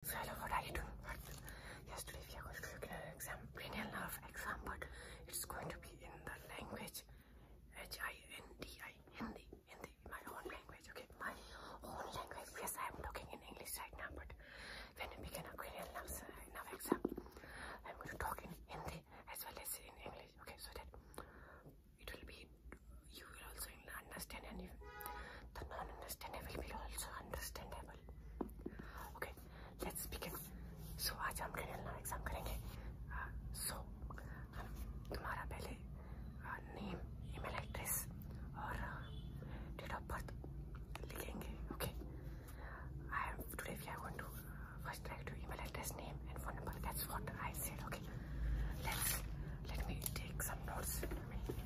So hello, what are you doing? What? Yes, today we are going to look at an exam, exam, but it's going to be in the language H-I-N-D-I, Hindi, Hindi, my own language, okay? My own language, yes, I am looking in English right now, but when we begin a cranial nerve, nerve exam, I'm going to talk in Hindi as well as in English, okay? So that it will be, you will also will the non-understandable will also understandable. Okay, let's begin. So आज हम ग्रेनल exam करेंगे. Uh, so हम तुम्हारा पहले uh, name, email address और uh, date Okay. I have to leave. are going to uh, first try to email address, name and phone number. That's what I said. Okay. Let's let me take some notes.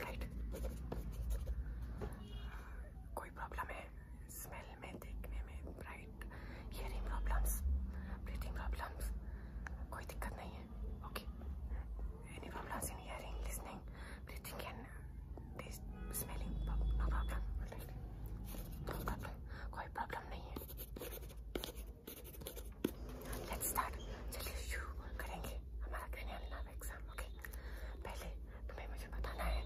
Right कोई problem है smell में देखने में bright hearing problems breathing problems कोई दिक्कत नहीं है okay any problems in hearing listening breathing and taste smelling no problem कोई प्रॉब्लम नहीं है लेट्स स्टार्ट चलिए शुरू करेंगे हमारा क्रिमिनल एग्जाम ओके पहले तुम्हें मुझे बताना है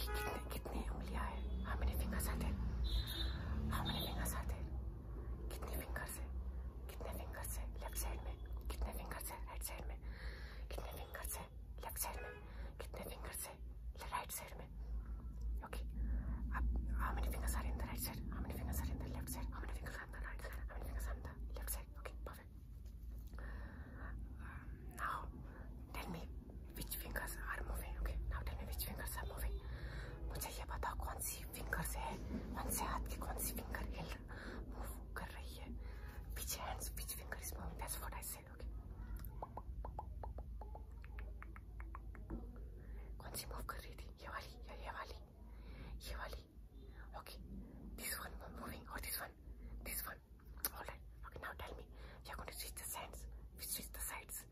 कि कितने कितनी उंगलियां हैं how many fingers are there how many fingers are there कितने फिंगर्स है कितने फिंगर्स है लेफ्ट साइड में कितने फिंगर्स है राइट साइड में कितने फिंगर्स है लेफ्ट साइड में कितने फिंगर्स है राइट साइड में Okay. Up, how many fingers are in the right side? How many fingers are in the left side? How many fingers are in the right side? How many fingers are in the left side? Okay, perfect. Um, now, tell me which fingers are moving. Okay, now tell me which fingers are moving. मुझे ये बताओ कौन सी finger से है कौन से हाथ की कौन सी फिंगर हिल मूव कर रही है which hands which finger is moving that's what I said okay कौन सी मूव कर रही थी ये वाली या ये वाली ये वाली ओके दिस वन मूविंग और this one this one alright okay now tell me you are going to switch the sides switch the sides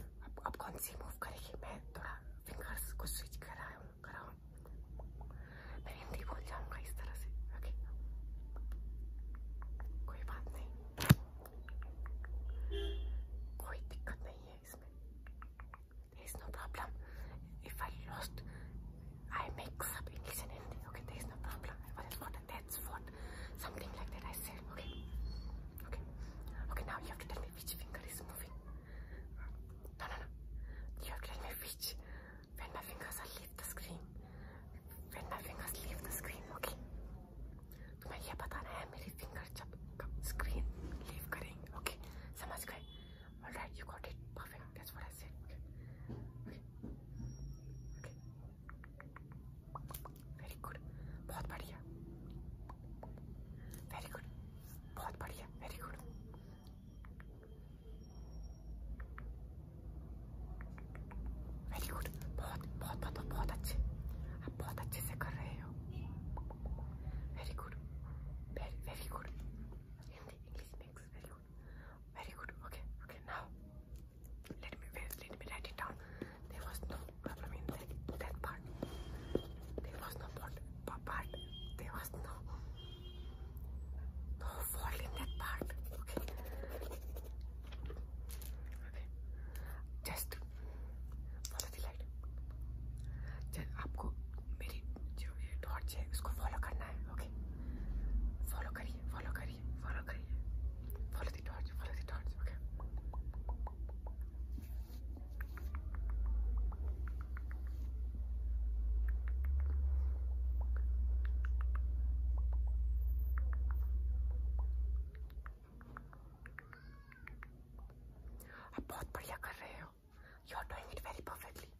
अब अब कौन सी मूव करेगी मैं थोड़ा फिंगर्स को स्विच कर रहा हूँ कर रहा हूँ मैं हिंदी बोल जाऊँगा इस तरह से ओके कोई बात नहीं कोई दिक्कत नहीं है replacement. There is no problem. If I lost, I mix up English and Hindi. Okay, there is no problem. What is what? That's what. Something like that I said. Okay. Okay. Okay, now you have to tell me which finger is moving. No, no, no. You have to tell me which. When my fingers are leave the screen. When my fingers leave the screen. Okay. तुम्हें तो बताना है बहुत बहुत बहुत बहुत अच्छे आप बहुत अच्छे से कर रहे हैं Very good. Very, very good. In the English mix. Very good. Very good. Okay, okay. Now, let me wait, let me write it down. There was no problem in that, that part. There was no part, part. There was no, no fault in that part. Okay. okay. Just follow the light. जब आपको मेरी जो ये torch है उसको follow करना है okay follow करिए फॉलो करिए फॉलो करिए follow the torch follow the torch okay आप बहुत बढ़िया कर रहे हो you are doing it very perfectly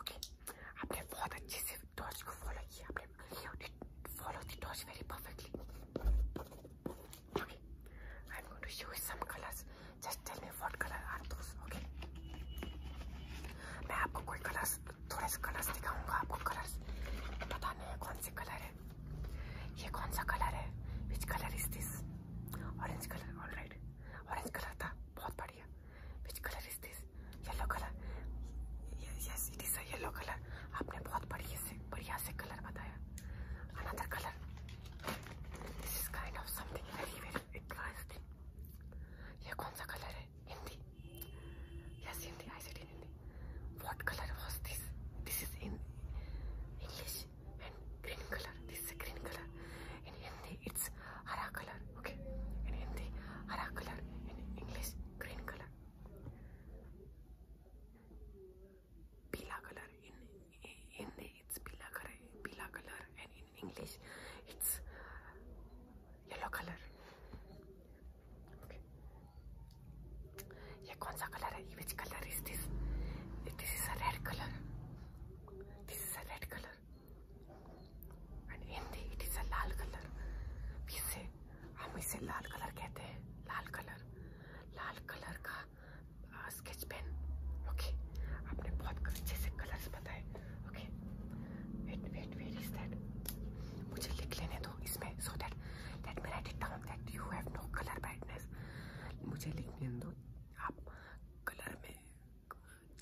okay आपने बहुत अच्छे से टॉर्च को फॉलो किया आपने follow the torch very perfectly okay I am going to show you some colours just tell me what colour are those okay मैं आपको कोई कलर्स थोड़े से कलर्स दिखाऊंगा आपको कलर्स पता नहीं है कौन से कलर है ये कौन सा कलर है which colour is this orange colour all right orange colour था बहुत बढ़िया which colour is this yellow colour yes it is yellow colour आपने बहुत बढ़िया से बढ़िया से कलर बताया another colour this is kind of something very very interesting ये कौन सा कलर है say? Hindi. Yes, Hindi. I said in Hindi. What color was this? This is in English and green color. This is a green color. In Hindi, it's hara color. Okay. In Hindi, hara color. In English, green color. Pila color. In Hindi, it's pila color. Pila color. And in in English. It's yellow color. Okay. ये कौन सा colour है? Which color is this? This is a red color. This is a red color. And Hindi it is a lal color. इसे हम इसे लाल colour कहते हैं. लाल कलर. लाल कलर का स्केच पेन. ओके. आपने बहुत अच्छे से कलर्स बताए. Okay wait wait wait is that मुझे लिख लेने दो इसमें सो दैट दैट मेरा डिट down that you have no colour brightness मुझे लिखने दो आप कलर में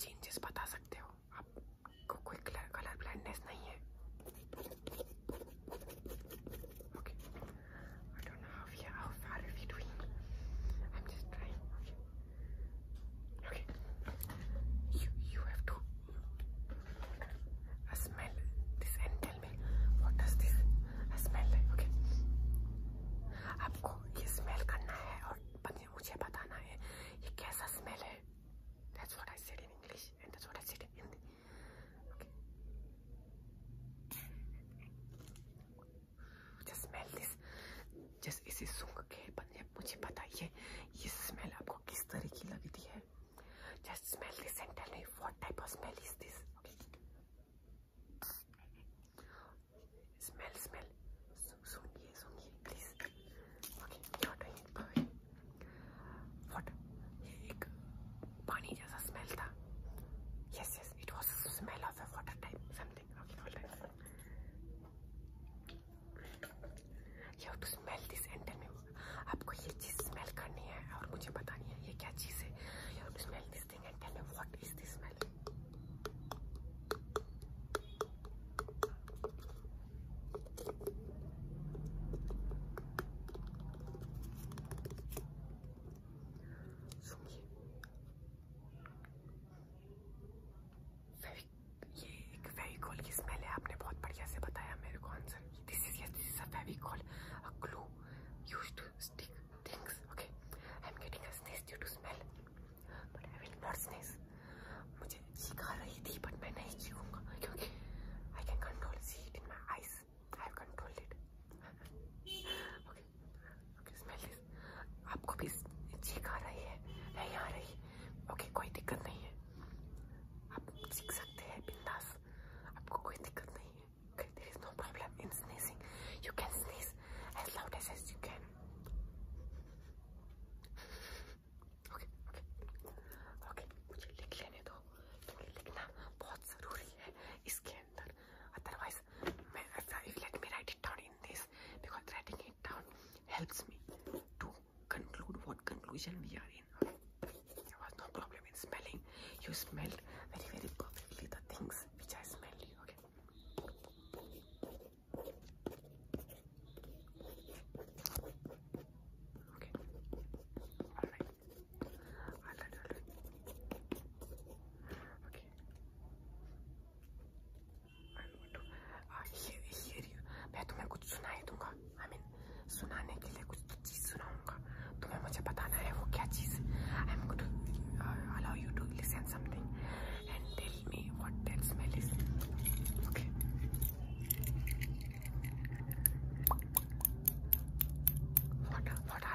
चेंजेस बता सकते हो आपको कोई कलर कलर ब्राइटनेस नहीं है Okay. I don't know how we are, how far are we doing. I'm just trying. Okay. Okay. You you have to I smell this and tell me what does this I smell like okay. आपको ये smell करना है और मुझे बताना है ये कैसा स्मेल है That's what I said in English and that's what I said in Hindi. Okay. just smell this just इसे सूंघ के बने मुझे बताइए ये स्मेल आपको किस तरह की लगती है just smell this and tell me what type of smell is this okay smell smell सूंघिए सूंघिए please okay you're doing it perfect what ये एक पानी जैसा स्मेल था yes yes it was smell of the water type something. Okay, hold on. You have to smell this and tell me. आपको ये चीज smell करनी है और मुझे बतानी है ये क्या चीज है. You have to smell this thing and tell me what is this smell. सुनिए ये एक फेविकॉल की स्मेल है आपने बहुत बढ़िया से बताया मेरे को answer this is yes this is a Fevicol a glue used to stick things okay I am getting a sneeze due to smell but I will not sneeze मुझे छींक आ रही थी बट मैं नहीं छींकूंगा क्योंकि I can control see it in my eyes I have controlled it okay okay आपको भी चीख आ रही है नहीं आ रही ओके कोई दिक्कत नहीं है आप सीख सकते हैं बिंदास आपको कोई दिक्कत नहीं है okay, there is no problem in sneezing you can sneeze as loud as, as you can okay, okay. Okay, मुझे लिख लेने दो क्योंकि लिखना बहुत ज़रूरी है इसके अंदर otherwise let me write it down in this because writing it down helps me to conclude what conclusion we are in. There was no problem in smelling. You smelled very, very perfectly the things which I smelled. okay. Okay. All right. Okay. मैं तुम्हें कुछ सुनाई दूंगा आई I mean mean, सुनाने के लिए कुछ चीज़ सुनाऊंगा तुम्हें मुझे बताना है वो क्या चीज़ I am good allow you to listen something and tell me what that smell is okay what what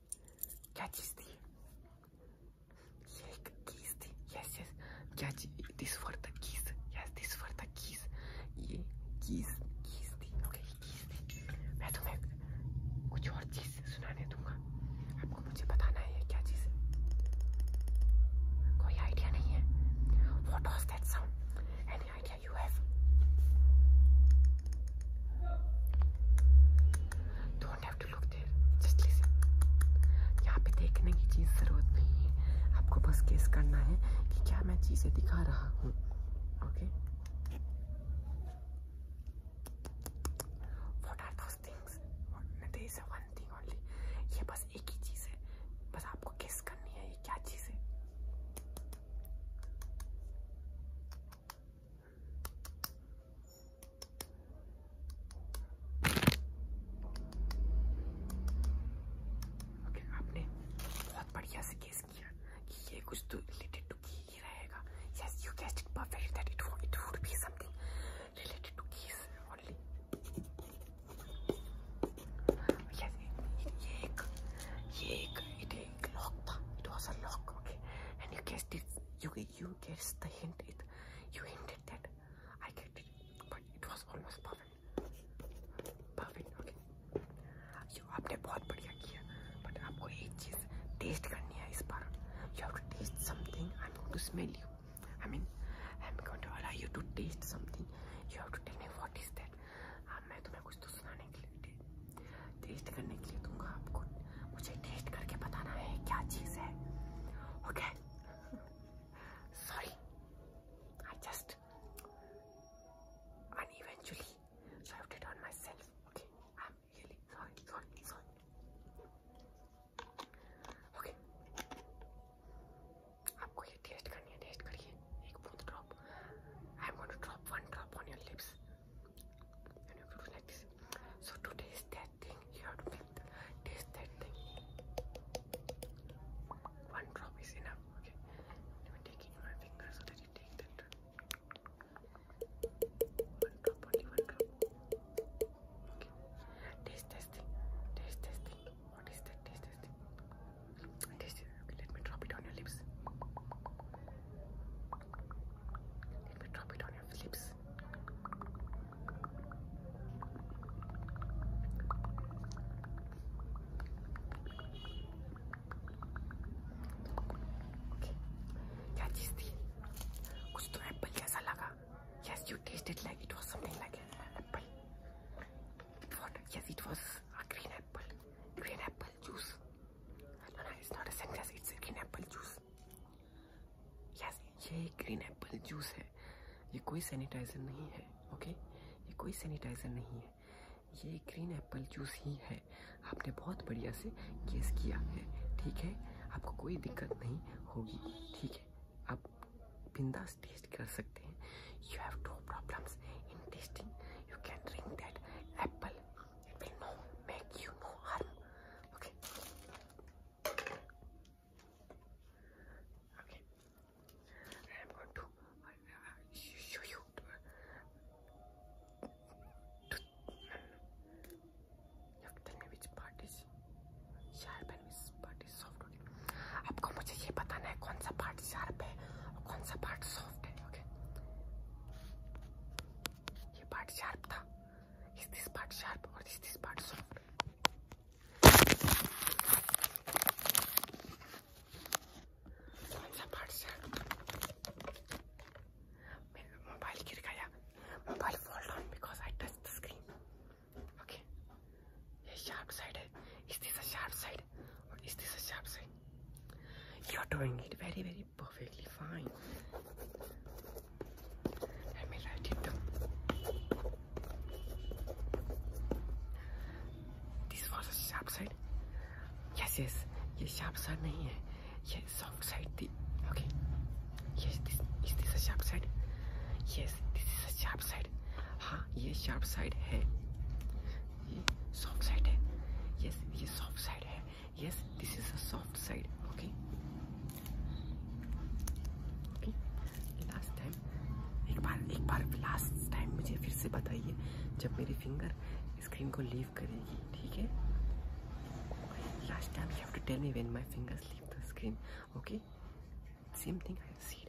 क्या चीज थी ये एक कीज थी यस यस क्या चीज this for the keys yes this for the keys ये कीज कीज थी ओके ये कीज थी मैं तुम्हें कुछ और चीज सुनाने दूंगा आपको मुझे बताना है ये क्या चीज है कोई आइडिया नहीं है what was that sound any idea you have don't have to look there. Just listen. यहाँ पे देखने की चीज़ ज़रूरत नहीं है आपको बस केस करना है कि क्या मैं चीज़ें दिखा रहा हूँ okay what are those things they is one thing only ये बस एक ही चीज़ है बस आपको केस करनी है ये क्या चीज़ है ओके आपने बहुत बढ़िया से गेस किया कि ये कुछ तो रिलेटेड टू की ही रहेगा yes you guessed it perfect that it it would be something related to keys only yes ये एक ये एक it It was a lock, okay. And you guessed it. You you guessed the hint. It you hinted that I get it, but it was almost perfect. Perfect, okay. You आपने बहुत बढ़िया किया, but आपको एक चीज taste करनी है इस बार. You have to taste something. I'm going to smell you. I mean, I'm going to allow you to taste something. You have to tell me what is that. I मैं तुम्हें कुछ आपको सुनाने के लिए टेस्ट करने के लिए दूंगा आपको मुझे टेस्ट करके बताना है क्या चीज़ है okay sorry I just and eventually served it on myself. Okay, I'm really sorry, sorry, sorry. Okay, आपको ये टेस्ट करनी है, टेस्ट करिए एक बूंद drop. I'm going to drop one drop on your lips. So to taste that thing, you have to make taste that thing. One drop is enough. Okay. Let me take it in my finger so that you take that drop. One drop, only one drop. Okay. Taste this thing. Taste this thing. What is that? Taste this thing. Taste Okay, let me drop it on your lips. Let me drop it on your lips. Okay. Yeah, this thing. कुछ तो apple Yes, you tasted like it was something like an apple. What? Yes, it was a green apple. Green apple. apple juice. No, no, it's not a sandwich. It's a green apple juice. Yes, ये green apple juice है. ये कोई sanitizer नहीं है, okay? ये कोई sanitizer नहीं है. ये ग्रीन एप्पल जूस ही है आपने बहुत बढ़िया से गेस किया है ठीक है आपको कोई दिक्कत नहीं होगी ठीक है आप बिंदास टेस्ट कर सकते हैं you have no problems in tasting you can drink that apple. It will no make you no harm. Okay. Okay. I am going to uh, show you. look, uh, tell me which part is sharp and which part is soft. आपको मुझे ये बताना है कौन सा part sharp है और कौन सा पार्ट सॉफ्ट है ओके ये पार्ट शार्प था इस दिस पार्ट शार्प और इस दिस पार्ट सॉफ्ट कौन सा पार्ट शार्प मेरा मोबाइल गिर गया mobile fall down because I touch the screen okay ये शार्प साइड है is this sharp side Or is this a sharp side? You're doing it very, very perfectly fine. Let me write it down. This was a sharp side. Yes, yes. ये sharp side नहीं है. ये soft side Okay. Yes, this is this a sharp side? Yes, this is a sharp side. हाँ, ये sharp side है. ये soft side है yes ये सॉफ्ट साइड है yes this is a soft side okay last time एक बार एक बार लास्ट टाइम मुझे फिर से बताइए जब मेरी फिंगर स्क्रीन को लीव करेगी ठीक है last time you have to tell me when my fingers leave the screen okay same thing see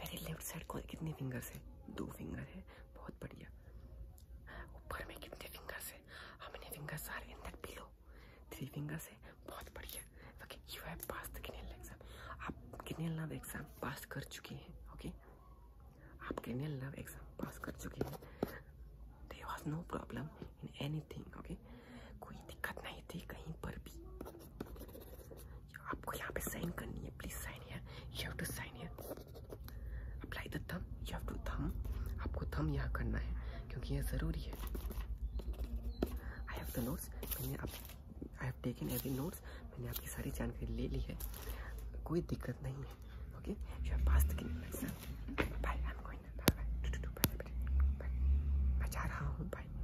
मेरे लेफ्ट साइड को कितनी फिंगर्स है दो फिंगर है बहुत बढ़िया ऊपर में कितने फिंगर्स है हमने fingers are in that pillow three fingers है बहुत बढ़िया okay you have pass exam आप कैनियल लव एग्जाम पास कर चुके हैं ओके आप कैनियल लव एग्जाम पास कर चुके हैं there was no problem in any okay कोई दिक्कत नहीं थी कहीं पर भी आपको यहाँ पे साइन करनी है प्लीज साइन है यू हैव टू साइन है apply the thumb you have to thumb आपको थम यहाँ करना है क्योंकि यह ज़रूरी है आई हैव द नोट्स मैंने आप I have taken every notes मैंने आपकी सारी जानकारी ले ली है कोई दिक्कत नहीं है okay you have pass the exam रहा हूँ बाय